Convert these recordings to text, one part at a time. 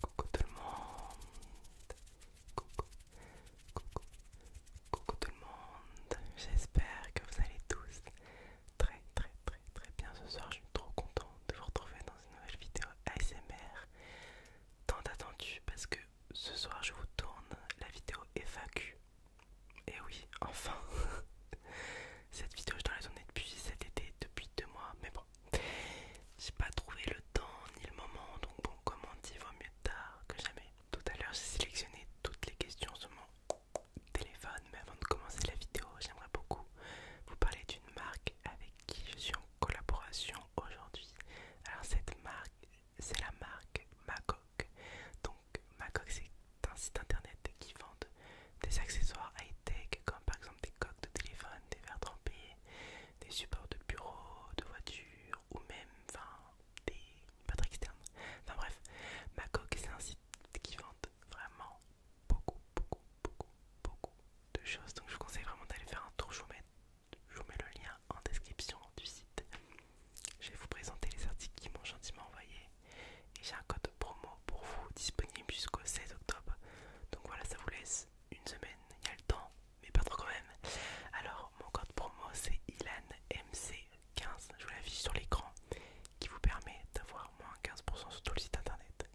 Coucou tout le monde, coucou, coucou, coucou tout le monde. J'espère que vous allez tous très très très très bien ce soir. Je suis trop contente de vous retrouver dans une nouvelle vidéo ASMR, tant attendu parce que ce soir je vous tourne la vidéo FAQ et eh oui, enfin Cette vidéo, je dois la tourner depuis cet été, depuis deux mois, mais bon, j'ai pas trouvé le temps ni le moment, donc bon, comment dire, dit, vaut mieux tard que jamais. Tout à l'heure, j'ai sélectionné toutes les questions sur mon téléphone, mais avant de commencer la vidéo, j'aimerais beaucoup vous parler d'une marque avec qui je suis en collaboration aujourd'hui. Alors, cette marque, c'est la marque Magog. Donc, donc c'est un site internet qui vend des accessoires high-tech comme par exemple des coques de téléphone, des verres trempés, des supports de bureau, de voiture ou même enfin, des batteries externes. Enfin bref, coque c'est un site qui vend vraiment beaucoup, beaucoup, beaucoup, beaucoup de choses. Donc je vous conseille vraiment d'aller faire un tour. je vous mets le lien en description du site. Je vais vous présenter les articles qui m'ont gentiment envoyé. Et j'ai un code promo pour vous disponible jusqu'au 16 octobre. Donc voilà, ça vous laisse une semaine. Il y a le temps, mais pas trop quand même. Alors, mon code promo c'est ILANMC15. Je vous l'affiche sur l'écran. Qui vous permet d'avoir moins 15% sur tout le site internet.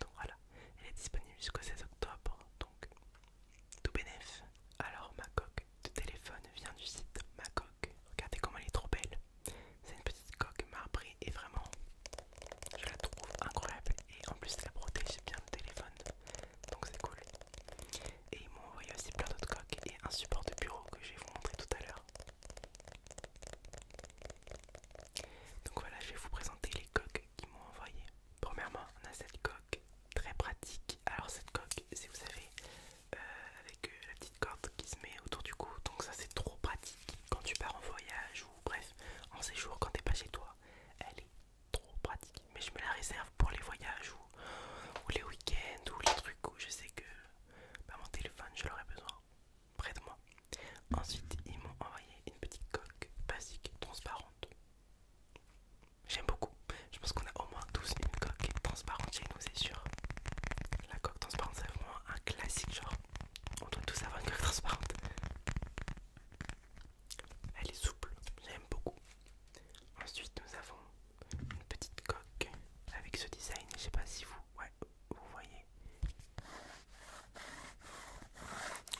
Donc voilà, elle est disponible jusqu'au 16 octobre. Donc tout bénéf. Alors ma coque de téléphone vient du site Macoque. Regardez comment elle est trop belle. C'est une petite coque marbrée et vraiment, je la trouve incroyable. Et en plus, elle protège bien le téléphone, donc c'est cool. Et ils m'ont envoyé aussi plein d'autres coques et un support de bureau que je vais vous montrer tout à l'heure. Donc voilà, je vais vous présenter les coques qu'ils m'ont envoyées. Premièrement, on a cette coque très pratique. Alors cette coque, si vous avez euh, avec euh, la petite corde qui se met autour du cou. Donc ça c'est trop pratique quand tu pars en voyage ou bref en séjour quand t'es pas chez toi. Elle est trop pratique. Mais je me la réserve pour les voyages ou, les week-ends ou les trucs où je sais que pas bah, mon téléphone je l'aurais besoin près de moi. Ensuite ils m'ont envoyé une petite coque basique transparente. J'aime beaucoup. Je pense qu'on a au moins tous une coque transparente chez nous, c'est sûr. La coque transparente, c'est vraiment un classique, genre. On doit tous avoir une coque transparente. Elle est souple, j'aime beaucoup. Ensuite, nous avons une petite coque avec ce design. Je sais pas si vous, vous voyez.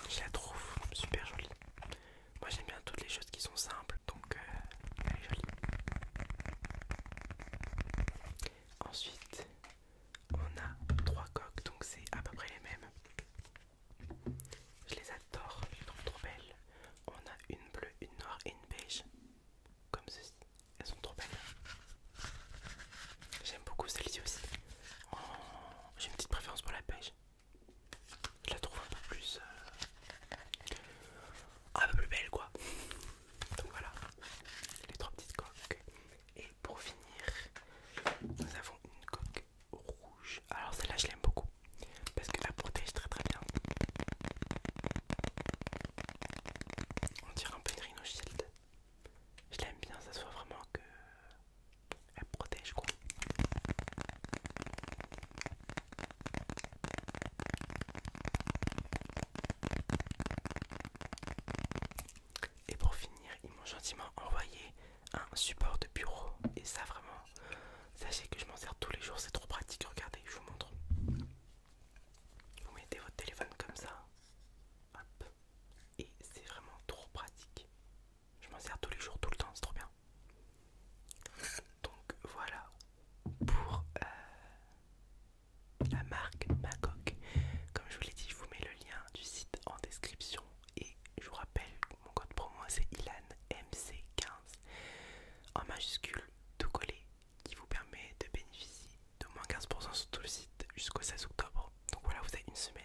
Je la trouve super jolie. Moi, j'aime bien toutes les choses qui sont simples, donc euh, elle est jolie. Ensuite, on a trois coques, donc c'est à peu près les mêmes. Je les adore, je les trouve trop belles. On a une bleue, une noire et une beige, comme ceci. Elles sont trop belles. J'aime beaucoup celle-ci aussi. J'ai une petite préférence pour la beige. Je la trouve un peu plus. Euh, un peu plus belle, quoi. Donc voilà, les trois petites coques. Et pour finir, nous avons une coque rouge. Alors celle-là, je l'aime beaucoup parce qu'elle la protège très très bien. On dirait un peu une Rhino Shield. Je l'aime bien, ça se voit vraiment que elle protège quoi. Et pour finir, ils m'ont gentiment envoyé un support de bureau. Et ça, vraiment, sachez que je m'en sers tous les jours, c'est trop pratique. Regardez, je vous montre. Vous mettez votre téléphone comme ça. Et c'est vraiment trop pratique. Je m'en sers tous les jours, tout le temps, c'est trop bien. Donc voilà pour euh, la marque Macoc. Comme je vous l'ai dit, je vous mets le lien du site en description et je vous rappelle mon code promo c'est ILANMC15 en majuscule tout collé qui vous permet de bénéficier d'au moins 15% sur tout le site jusqu'au 16 octobre. Donc voilà, vous avez une semaine.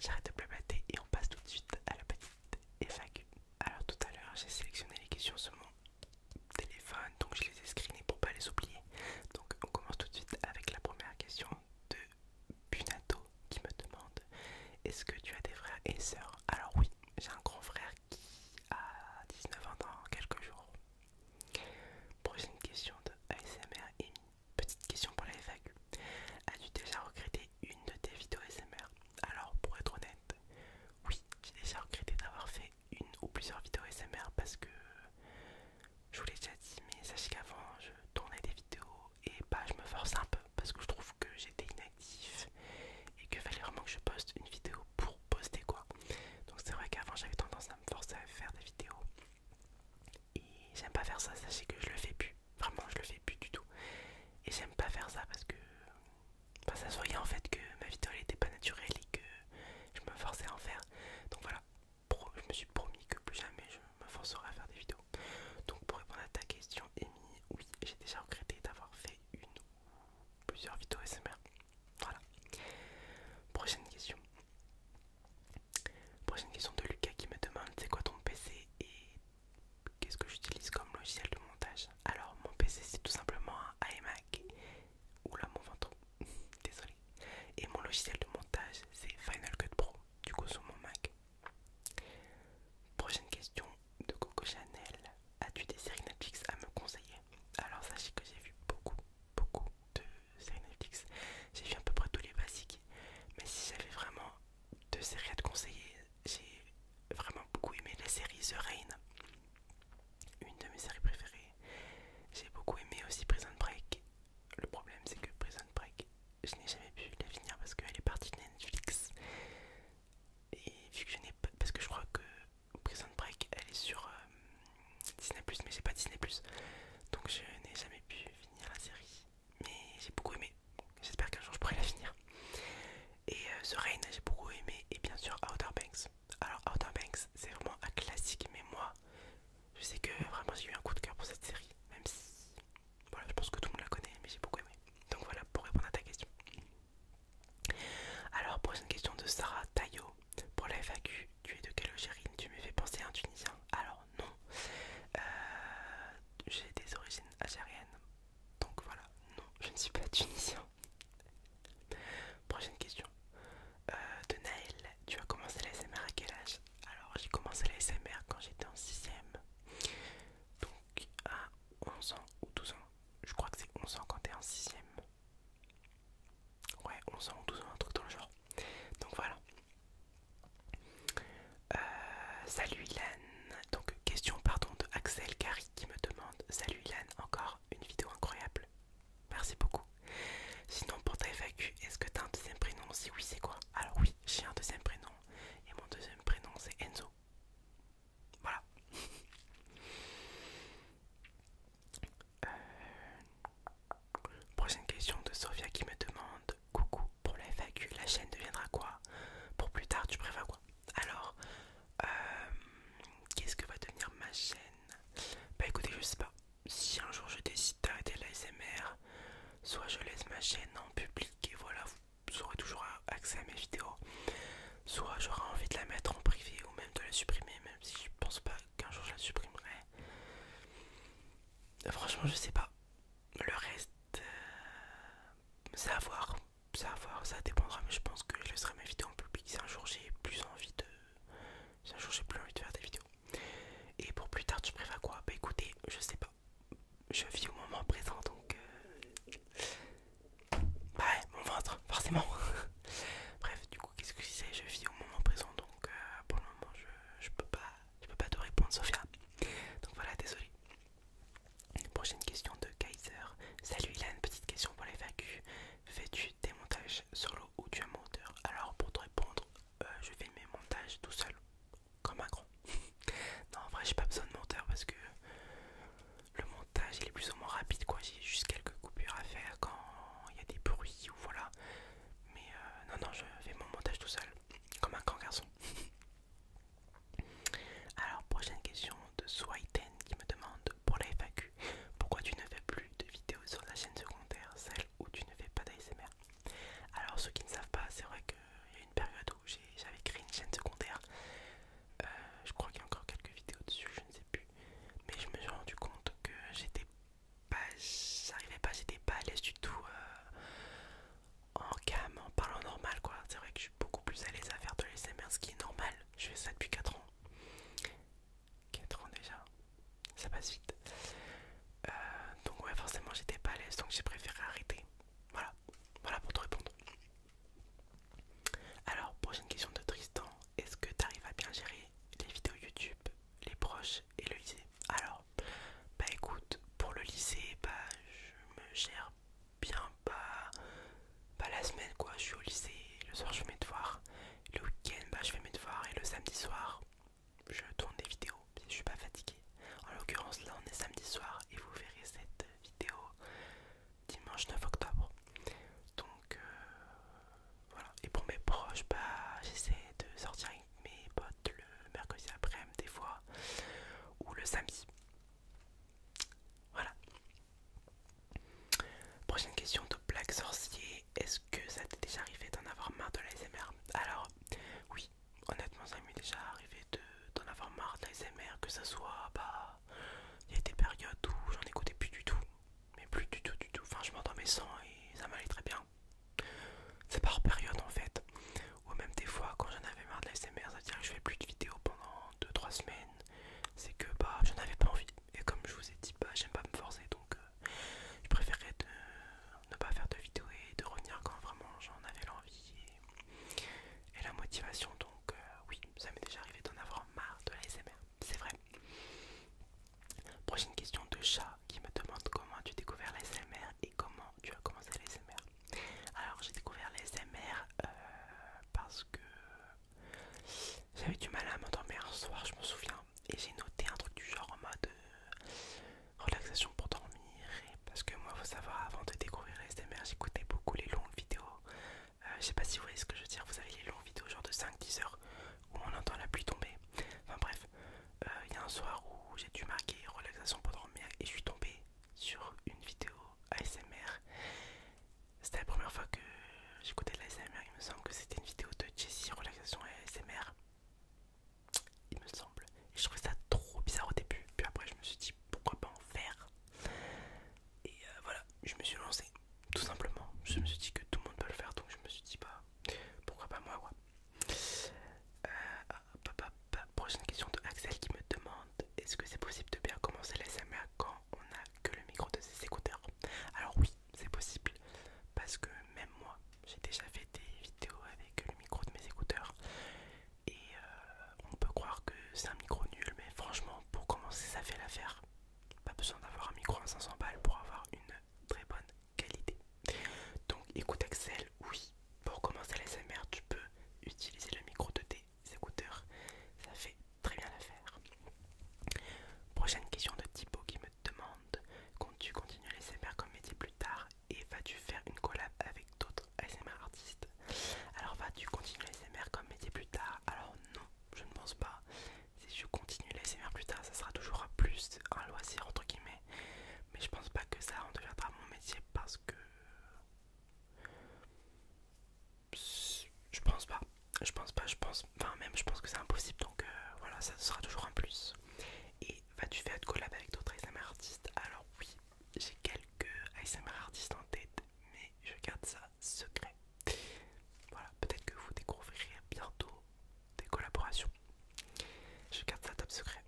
J'arrête de blablater et on passe tout de suite à la petite FAQ. Alors tout à l'heure, j'ai sélectionné les questions seulement téléphone, donc je les ai screenés pour pas les oublier. Donc on commence tout de suite avec la première question de Bunato qui me demande Est-ce que tu as des frères et sœurs Alors oui, j'ai un grand frère qui a 19 ans dans quelques jours. Prochaine question de ASMR une Petite question pour la FAQ. As-tu déjà regretté une de tes vidéos ASMR Alors pour être honnête, oui, j'ai déjà regretté d'avoir fait une ou plusieurs vidéos SMR parce que je vous l'ai déjà dit, mais sachez qu'avant je tournais des vidéos et bah je me force un peu parce que je trouve que j'étais inactif et que fallait vraiment que je poste une vidéo pour poster quoi. Donc c'est vrai qu'avant j'avais tendance à me forcer à faire des vidéos et j'aime pas faire ça, sachez que je le fais plus, vraiment je le fais plus du tout et j'aime pas faire ça parce que enfin, ça se voyait en fait que ma vidéo était pas naturelle et que je me forçais à en faire. Donc voilà, je me suis promis que plus jamais je me forcerai à faire des vidéos. Donc pour répondre à ta question, Amy, oui, j'ai déjà regretté d'avoir fait une ou plusieurs vidéos SMR. Voilà. Prochaine question. Prochaine question de Lucas qui me demande c'est quoi ton PC et qu'est-ce que j'utilise comme logiciel de montage Alors mon PC c'est tout simplement un iMac Oula mon ventre, désolé. Et mon logiciel de montage c'est Final Cut Pro, du coup sur mon Mac. Prochaine question de Coco Chanel. As-tu des séries Netflix à me conseiller Alors sachez que j'ai vu beaucoup, beaucoup de séries Netflix. J'ai vu à peu près tous les basiques. Mais si j'avais vraiment deux séries à te conseiller, j'ai vraiment beaucoup aimé la série The Rain une de mes séries préférées. J'ai beaucoup aimé aussi Prison Break. Le problème c'est que Prison Break, je n'ai jamais pu la finir parce qu'elle est partie de Netflix. Et vu que je n'ai pas... Parce que je crois que Prison Break, elle est sur euh, Disney ⁇ mais j'ai pas Disney ⁇ Donc je n'ai jamais pu finir la série. Mais j'ai beaucoup aimé. J'espère qu'un jour je pourrai la finir. Et euh, The Rain, j'ai beaucoup aimé. Et bien sûr Outer Banks. Alors Outer Banks c'est vraiment un classique mais moi je sais que vraiment j'ai eu un coup de cœur pour cette série même si voilà je pense que tout le monde la connaît mais j'ai beaucoup aimé donc voilà pour répondre à ta question. Alors prochaine question de Sarah Tayo pour la FAQ tu es de quelle origine tu me fais penser à un Tunisien alors non euh, j'ai des origines algériennes donc voilà non je ne suis pas tunisien Prochaine question. Euh, de Naël, tu as commencé la SMR à quel âge Alors j'ai commencé la SMR quand j'étais en 6ème. Donc à 11 ans ou 12 ans. Je crois que c'est 11 ans quand t'es en 6 Ouais, 11 ans ou 12 ans, un truc dans le genre. Donc voilà. Euh, salut Ilan. Donc question pardon de Axel Gary qui me demande Salut Ilan, encore une vidéo incroyable. Merci beaucoup. Sinon, pour ta FAQ, est-ce que t'as un deuxième prénom Si oui, c'est quoi Alors oui, j'ai un deuxième prénom. Et mon deuxième prénom, c'est Enzo. Voilà. Euh, prochaine question de Sofia qui me demande Coucou, pour la FAQ, la chaîne deviendra quoi Pour plus tard, tu préfères quoi Alors, euh, qu'est-ce que va devenir ma chaîne bah écoutez, je sais pas. Si un jour je décide d'arrêter l'ASMR, soit je laisse ma chaîne en public et voilà, vous aurez toujours accès à mes vidéos. Soit j'aurai envie de la mettre en privé ou même de la supprimer, même si je pense pas qu'un jour je la supprimerai. Franchement, je sais pas. Le reste, euh, c'est à voir. ça dépendra, mais je pense que je laisserai mes vidéos en public si un jour j'ai plus envie de un jour j'ai plus envie de faire des vidéos. Et pour plus tard, tu préfères quoi Bah écoutez, je sais pas. Je vis au moment présent donc. Euh, bah ouais, mon ventre, forcément. Bref, du coup, qu'est-ce que je disais Je vis au moment présent donc euh, pour le moment, je, peux pas je peux pas te répondre, Sofia Donc voilà, désolé. Prochaine question de Kaiser. Salut une petite question pour les vacu Fais-tu des montages solo ou tu as monteur Alors pour te répondre, euh, je fais mes montages tout seul, comme un grand. non, en vrai, j'ai pas besoin de monteur parce que le montage il est plus ou moins rapide quoi. J'ai juste quelques coupures à faire quand il y a des bruits ou voilà. Mais euh, non, non, je fais mon montage tout seul, comme un grand garçon. Alors, prochaine question de soi-ten qui me demande pour la FAQ. Pourquoi tu ne fais plus de vidéos sur la chaîne secondaire, celle où tu ne fais pas d'ASMR Alors ceux qui ne savent pas, c'est vrai qu'il y a une période où j'avais créé une chaîne secondaire. Euh, je crois qu'il y a encore quelques vidéos dessus, je ne sais plus. Mais je me suis rendu compte que j'étais pas, j'arrivais pas, j'étais pas à l'aise du tout euh, en cam, en parlant normal quoi. C'est vrai que je suis beaucoup plus à l'aise à faire de l'ASMR, ce qui est normal. Je fais ça depuis 4 ans. 4 ans déjà, ça passe vite. Euh, donc ouais, forcément j'étais pas à l'aise, donc j'ai préféré arrêter. Voilà, voilà pour te répondre. Alors, prochaine question de Tristan, est-ce que t'arrives à bien gérer les vidéos YouTube, les proches et le lycée Alors, bah écoute, pour le lycée, bah je me gère bien, pas bah, bah, la semaine quoi je suis au lycée, le soir je fais mes devoirs, le week-end bah, je fais mes devoirs et le samedi soir je tourne des vidéos si je suis pas fatigué. En l'occurrence là on est samedi soir et vous verrez cette vidéo dimanche 9 octobre. Donc euh, voilà. Et pour mes proches, bah, j'essaie de sortir avec mes potes le mercredi après-midi des fois ou le samedi. Voilà. Prochaine question de Black Sorcier. Est-ce que ça t'est déjà arrivé d'en avoir marre de l'ASMR Alors, oui, honnêtement, ça m'est déjà arrivé d'en avoir marre de l'ASMR, que ce soit, bah, il y a des périodes où j'en écoutais plus du tout, mais plus du tout, du tout. Enfin, je m'endormais sans et ça m'allait très bien. C'est par période en fait, ou même des fois quand j'en avais marre de l'ASMR, ça veut dire que je fais plus de vidéos pendant 2-3 semaines, c'est que bah j'en avais pas envie. Et comme je vous ai dit, pas bah, j'aime pas me forcer donc euh, je préférais de, ne pas faire de vidéo et de revenir quand vraiment j'en avais l'envie et, la motivation. Donc, euh, oui, ça m'est déjà arrivé d'en avoir marre de l'ASMR, c'est vrai. Prochaine question de chat qui me demande comment tu as découvert et comment tu as commencé l'ASMR. Alors, j'ai découvert l'ASMR euh, parce que j'avais du mal à m'endormir un soir, je m'en souviens. Et j'ai noté un truc du genre en mode euh, relaxation pour dormir. parce que moi, faut savoir, avant de découvrir ASMR, j'écoutais beaucoup les longues vidéos. Euh, je sais pas si vous voyez ce que je veux dire, vous avez les longues vidéos genre de 5-10 heures où on entend la pluie tomber. Enfin bref, euh, il y a un soir où j'ai dû marquer relaxation pour dormir et je suis tombé sur une vidéo ASMR c'était la première fois que j'écoutais de l'ASMR, il me semble que c'était une vidéo de Jessie Relaxation ASMR. Il me semble. Et je trouvais ça trop bizarre au début. Puis après je me suis dit pourquoi pas en faire. Et euh, voilà, je me suis lancé. Tout simplement. Je me suis dit que tout le monde peut le faire. Donc je me suis dit bah pourquoi pas moi quoi. Euh, ah, bah, bah, bah, prochaine question de Axel qui me demande est-ce que c'est possible de bien commencer l'ASMR quand on n'a que le micro de ses écouteurs. Alors oui, c'est possible, parce que même moi, j'ai déjà fait des vidéos avec le micro de mes écouteurs. Et euh, on peut croire que c'est un micro nul, mais franchement, pour commencer, ça fait l'affaire. Pas besoin d'avoir un micro à 500 balles pour avoir une très bonne qualité. Donc écoute Axel, oui, pour commencer l'ASMR, tu peux utiliser le micro de tes écouteurs. Ça fait très bien faire. Prochaine question de Thibaut qui me demande comptes-tu continuer les comme métier plus tard et vas-tu faire une collab avec d'autres ASMR artistes Alors vas-tu continuer les comme métier plus tard Alors non, je ne pense pas. Si je continue les plus tard, ça sera toujours plus un loisir entre guillemets. Mais je pense pas que ça en deviendra mon métier parce que je pense pas. Je pense pas, je pense. Enfin, même, je pense que c'est impossible. Donc, euh, voilà, ça sera toujours un plus. Et vas-tu faire de collab avec d'autres ASMR artistes Alors, oui, j'ai quelques ASMR artistes en tête, mais je garde ça secret. Voilà, peut-être que vous découvrirez bientôt des collaborations. Je garde ça top secret.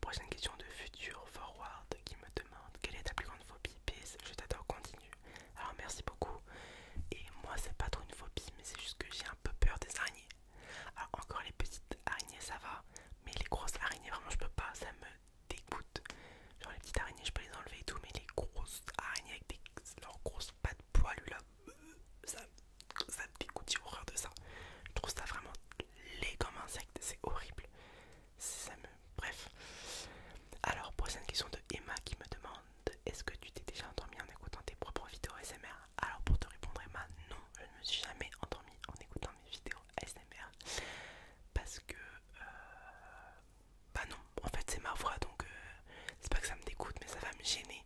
Prochaine question de Futur Forward qui me demande quelle est ta plus grande phobie Peace, Je t'adore, continue. Alors merci beaucoup. Et moi c'est pas trop une phobie mais c'est juste que j'ai un peu peur des araignées. Alors encore les petites araignées ça va, mais les grosses araignées vraiment je peux pas, ça me dégoûte. Genre les petites araignées je peux les enlever et tout, mais les grosses araignées avec des, leurs grosses pattes poilues là, ça, ça me dégoûte, j'ai horreur de ça. Je trouve ça vraiment laid comme insecte, c'est horrible ça me... Bref. Alors, prochaine question de Emma qui me demande Est-ce que tu t'es déjà endormi en écoutant tes propres vidéos ASMR Alors, pour te répondre, Emma, non, je ne me suis jamais endormi en écoutant mes vidéos ASMR parce que. Euh, bah non, en fait, c'est ma voix donc euh, c'est pas que ça me dégoûte, mais ça va me gêner.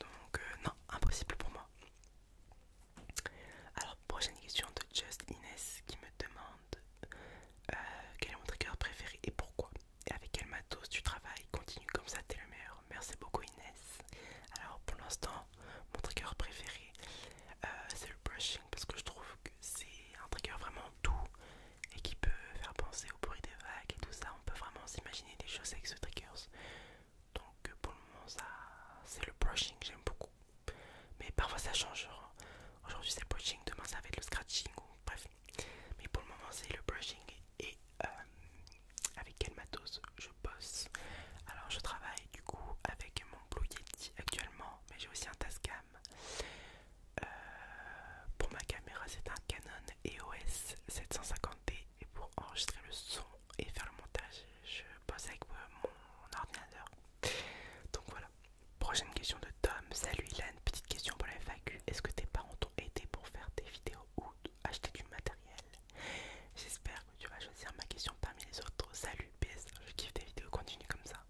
Donc, euh, non, impossible pour moi. Alors, prochaine question de Just Ines qui me demande euh, quel est mon trigger préféré et pourquoi et avec quel matos tu travailles continue comme ça t'es le meilleur merci beaucoup Inès alors pour l'instant mon trigger préféré euh, c'est le brushing parce que je trouve que c'est un trigger vraiment doux et qui peut faire penser au bruit des vagues et tout ça on peut vraiment s'imaginer des choses avec ce trigger. donc pour le moment ça c'est le brushing j'aime beaucoup mais parfois ça change. Hein. Aujourd'hui c'est le brushing, demain ça va être le scratching, ou bref. Mais pour le moment c'est le brushing et euh, avec quel matos je bosse. Alors je travaille du coup avec mon Blue Yeti actuellement, mais j'ai aussi un Tascam. Euh, pour ma caméra c'est un Canon EOS 750D et pour enregistrer le son et faire le montage je bosse avec euh, mon ordinateur. Donc voilà. Prochaine question de Tom. Salut Ilan, petite question pour la FAQ. Est-ce que tes parents t'ont aidé pour faire tes vidéos ou acheter du matériel J'espère que tu vas choisir ma question parmi les autres. Salut PS, je kiffe tes vidéos, continue comme ça.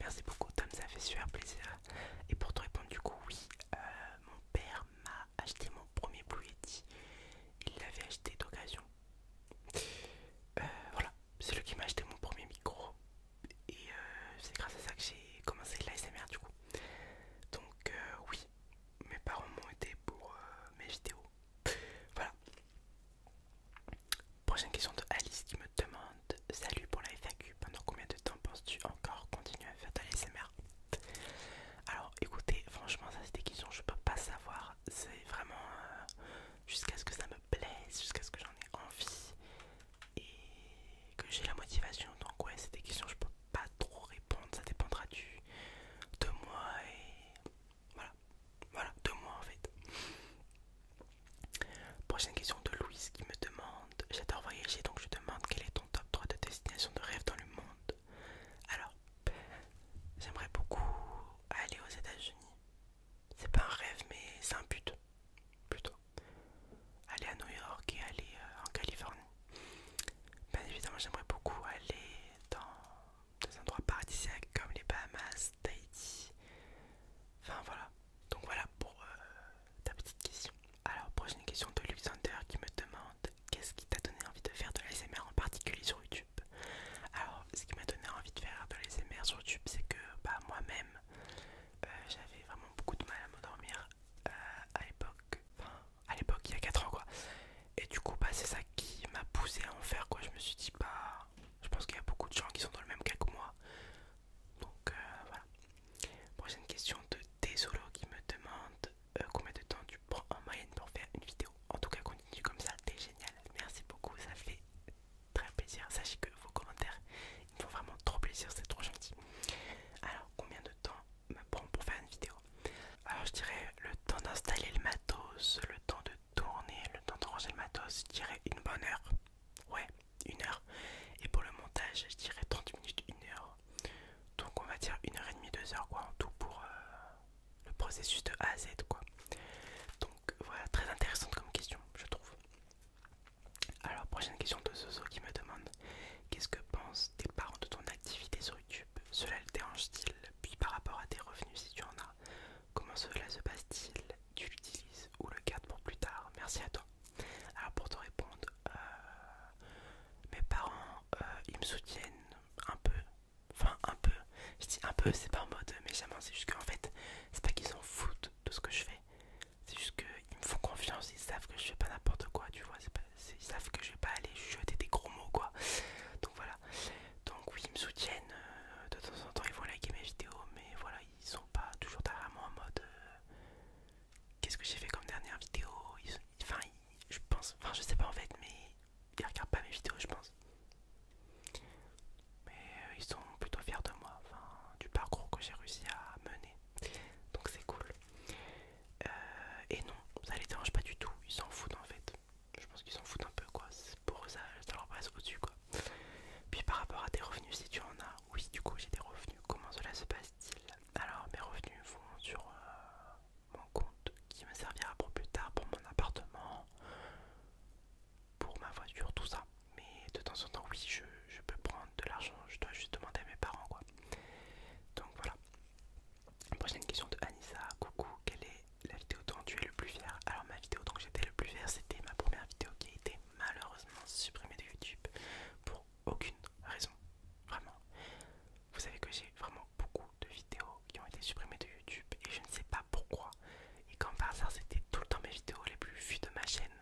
Merci beaucoup Tom, ça fait super plaisir. Et pour te répondre du coup, oui, euh, mon père m'a acheté mon premier Blue Il l'avait acheté d'occasion. Euh, voilà, c'est lui qui m'a acheté mon premier micro et euh, c'est grâce à ça que j'ai commencé l'ASMR du coup. Donc euh, oui, mes parents m'ont aidé pour euh, mes vidéos. voilà. Prochaine question de Alice qui me demande Salut pour la FAQ, pendant combien de temps penses-tu encore continuer à faire de l'ASMR Alors écoutez, franchement ça c'est des questions, je peux pas savoir. C'est vraiment jusqu'à ce que ça me plaise, jusqu'à ce que j'en ai envie et que j'ai la motivation. Donc ouais, c'est des questions je peux pas trop répondre, ça dépendra du de moi et voilà, voilà, de moi en fait. Prochaine question de Louise qui me demande J'adore voyager donc je demande quel est ton top 3 de destination de rêve dans le monde Alors, j'aimerais beaucoup aller aux États-Unis. C'est pas un rêve, mais c'est un but plutôt. Aller à New York et aller euh, en Californie. Bien évidemment, j'aimerais beaucoup aller dans des endroits paradisiaques comme les Bahamas, Tahiti. Enfin voilà. Donc voilà pour euh, ta petite question. Alors, prochaine question de Luxander qui me demande qu'est-ce qui t'a donné envie de faire de l'ASMR en particulier sur YouTube. Alors, ce qui m'a donné envie de faire de l'ASMR sur YouTube, c'est que bah, moi-même, euh, j'avais vraiment beaucoup de mal à me dormir euh, à l'époque, enfin à l'époque il y a 4 ans quoi. Et du coup bah, c'est ça qui m'a poussé à en faire quoi. Je me suis dit bah je pense qu'il y a beaucoup de gens qui sont dans le même cas que moi. Donc euh, voilà. Prochaine question de Desolo qui me demande combien de temps tu prends en moyenne pour faire une vidéo. En tout cas continue comme ça, t'es génial. Merci beaucoup, ça fait très plaisir. Sachez que vos commentaires ils font vraiment trop plaisir, c'est trop gentil. Alors, combien de temps me prend pour faire une vidéo Alors, je dirais le temps d'installer le matos, le temps de tourner, le temps de ranger le matos, je dirais une bonne heure. Ouais, une heure. Et pour le montage, je dirais 30 minutes, une heure. Donc, on va dire une heure et demie, deux heures quoi, en tout pour euh, le processus de A à Z quoi. Donc, voilà, très intéressante comme question, je trouve. Alors, prochaine question de Zozo qui me demande Qu'est-ce que pensent tes parents de ton activité sur YouTube Cela le dérange-t-il Puis par rapport à tes revenus, si tu en as, comment cela se passe-t-il Tu l'utilises ou le gardes pour plus tard Merci à toi. Alors, pour te répondre, euh, mes parents, euh, ils me soutiennent un peu. Enfin, un peu. Je dis un peu, c'est pas en mode, mais jamais, c'est juste qu'en fait, c'est pas qu'ils s'en foutent de ce que je fais. C'est juste qu'ils me font confiance, ils savent que je fais pas n'importe quoi, tu vois. ils savent que je vais pas aller jeter des gros mots, quoi. Donc voilà. Donc oui, ils me soutiennent. Euh, de temps en temps, ils vont liker mes vidéos, mais voilà, ils sont pas toujours derrière en mode. Euh, qu'est-ce que j'ai fait comme dernière vidéo Enfin, je pense. Enfin, je sais pas en fait, mais ils regardent pas mes vidéos, je pense mais euh, ils sont plutôt fiers de moi, enfin, du parcours que j'ai réussi à mener. Donc c'est cool. Euh, et non, ça les dérange pas du tout, ils s'en foutent en fait. Je pense qu'ils s'en foutent un peu quoi, pour ça, leur passe au-dessus quoi. Puis par rapport à tes revenus, si tu en as, oui du coup j'ai des revenus, comment cela se passe-t-il Alors mes revenus vont sur euh, mon compte qui me servira pour plus tard pour mon appartement pour ma voiture, tout ça. Mais de temps en temps, oui, je, peux prendre de l'argent, je dois juste demander à mes parents, quoi. Donc voilà. Prochaine question de Anissa. Coucou, quelle est la vidéo dont tu es le plus fier Alors, ma vidéo dont j'étais le plus fier, c'était ma première vidéo qui a été malheureusement supprimée de YouTube pour aucune raison. Vraiment. Vous savez que j'ai vraiment beaucoup de vidéos qui ont été supprimées de YouTube et je ne sais pas pourquoi. Et comme par c'était tout le temps mes vidéos les plus vues de ma chaîne.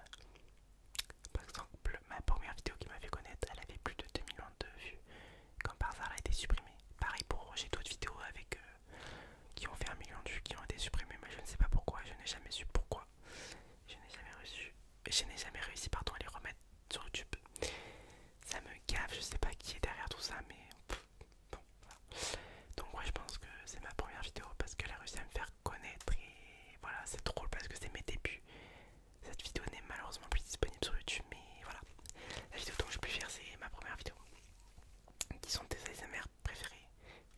Par exemple, ma première vidéo qui m'a fait connaître, elle avait plus de 2 millions de vues. Quand par hasard, elle a été supprimée. Pareil pour j'ai d'autres vidéos avec euh, qui ont fait un million de vues, qui ont été supprimées, mais je ne sais pas pourquoi. Je n'ai jamais su pourquoi. Je n'ai jamais reçu. Je n'ai jamais réussi pardon, à les remettre sur YouTube. Ça me gave, je sais pas qui est derrière tout ça, mais... bon, Donc ouais, je pense que c'est ma première vidéo parce qu'elle a réussi à me faire connaître et voilà c'est drôle parce que c'est mes débuts cette vidéo n'est malheureusement plus disponible sur youtube mais voilà la vidéo dont je pu faire c'est ma première vidéo qui sont des ASMR préférés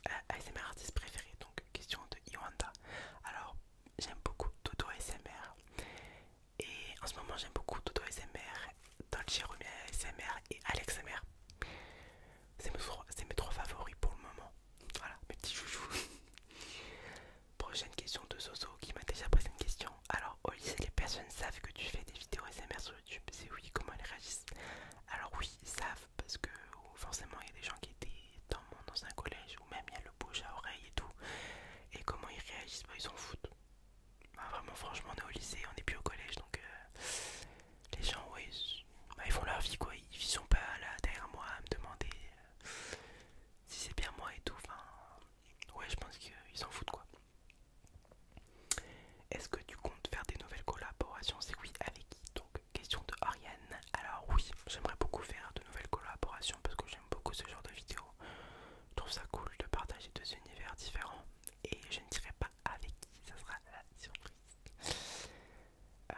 euh, ASMR artistes préférés donc question de Iwanda alors j'aime beaucoup Toto ASMR et en ce moment j'aime beaucoup Toto ASMR Dolce Jérôme ASMR et Alex ASMR c'est mes, mes trois favoris pour le moment. Voilà, mes petits chouchous. Prochaine question de Soso qui m'a déjà posé une question. Alors, au lycée, les personnes savent que tu fais des vidéos SMR sur YouTube. C'est oui, comment elles réagissent Alors, oui, ils savent parce que oh, forcément, il y a des gens qui étaient dans, mon, dans un collège ou même il y a le bouche à oreille et tout. Et comment ils réagissent bah, Ils s'en foutent. Bah, vraiment, franchement, on est au lycée, on n'est plus au collège donc euh, les gens, oui bah, ils font leur vie quoi, ils sont pas là derrière moi à me demander euh, si c'est bien moi et tout. Enfin, ouais, je pense qu'ils s'en foutent quoi. Est-ce que tu comptes faire des nouvelles collaborations C'est oui, avec qui Donc, question de Ariane. Alors, oui, j'aimerais beaucoup faire de nouvelles collaborations parce que j'aime beaucoup ce genre de vidéos. Je trouve ça cool de partager deux univers différents et je ne dirai pas avec qui, ça sera la surprise. Euh,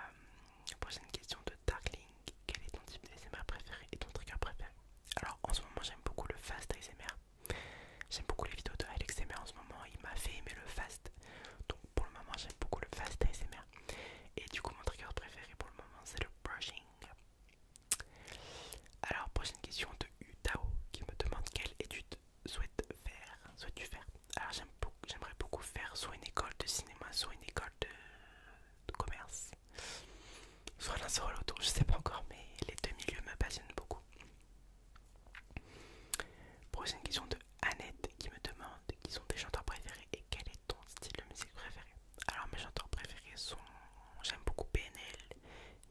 prochaine question de Darkling. Quel est ton type d'ASMR préféré et ton trigger préféré Alors en ce moment j'aime beaucoup le fast ASMR. J'aime beaucoup les vidéos de Alex en ce moment. Il m'a fait aimer le fast. Donc pour le moment j'aime beaucoup le fast ASMR. Et du coup mon trigger préféré pour le moment c'est le brushing. Alors prochaine question de Utao qui me demande quelle étude souhaites faire tu faire Alors j'aimerais beaucoup faire soit une école de cinéma, soit une école de, commerce, soit un solo l'autre, je sais pas encore, mais les deux milieux me passionnent beaucoup. Prochaine question de Annette qui me demande qui sont tes chanteurs préférés et quel est ton style de musique préféré. Alors mes chanteurs préférés sont, j'aime beaucoup PNL,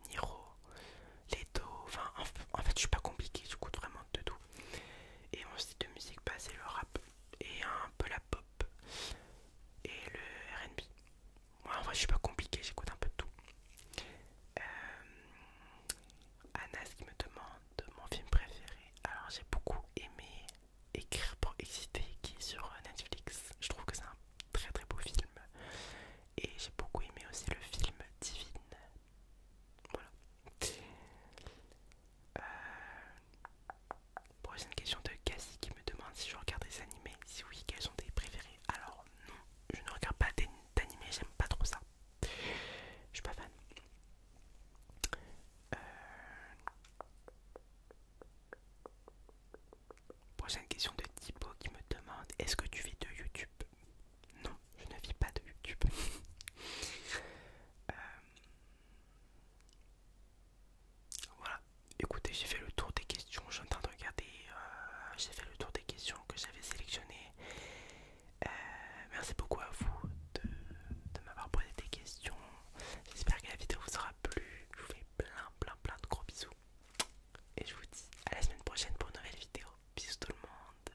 Niro, Leto, enfin en fait je suis pas compliqué, coûte vraiment de tout et mon style de musique, bah, c'est le rap et un peu la pop et le RB. Moi en vrai, je suis pas compliqué, j'écoute un peu de tout. Euh, Anas qui me demande mon film préféré. Alors, j'ai beaucoup aimé Écrire pour exciter qui est sur euh, Netflix. Je trouve que c'est un très très beau film. Et j'ai beaucoup aimé aussi le film Divine voilà. Euh, prochaine question de Cassie qui me demande si je regarde des animés. Si oui, quels sont tes préférés Alors non, je ne regarde pas d'animés, j'aime pas trop ça. Je suis pas fan. Euh, prochaine question de Thibaut qui me demande est-ce que tu vis de YouTube non, je ne vis pas de YouTube. Euh, voilà, écoutez, j'ai fait le tour des questions. J'entends de regarder. Euh, j'ai fait le tour des questions que j'avais sélectionnées. Euh, merci beaucoup à vous de, de m'avoir posé des questions. J'espère que la vidéo vous aura plu. Je vous fais plein, plein, plein de gros bisous. Et je vous dis à la semaine prochaine pour une nouvelle vidéo. Bisous tout le monde.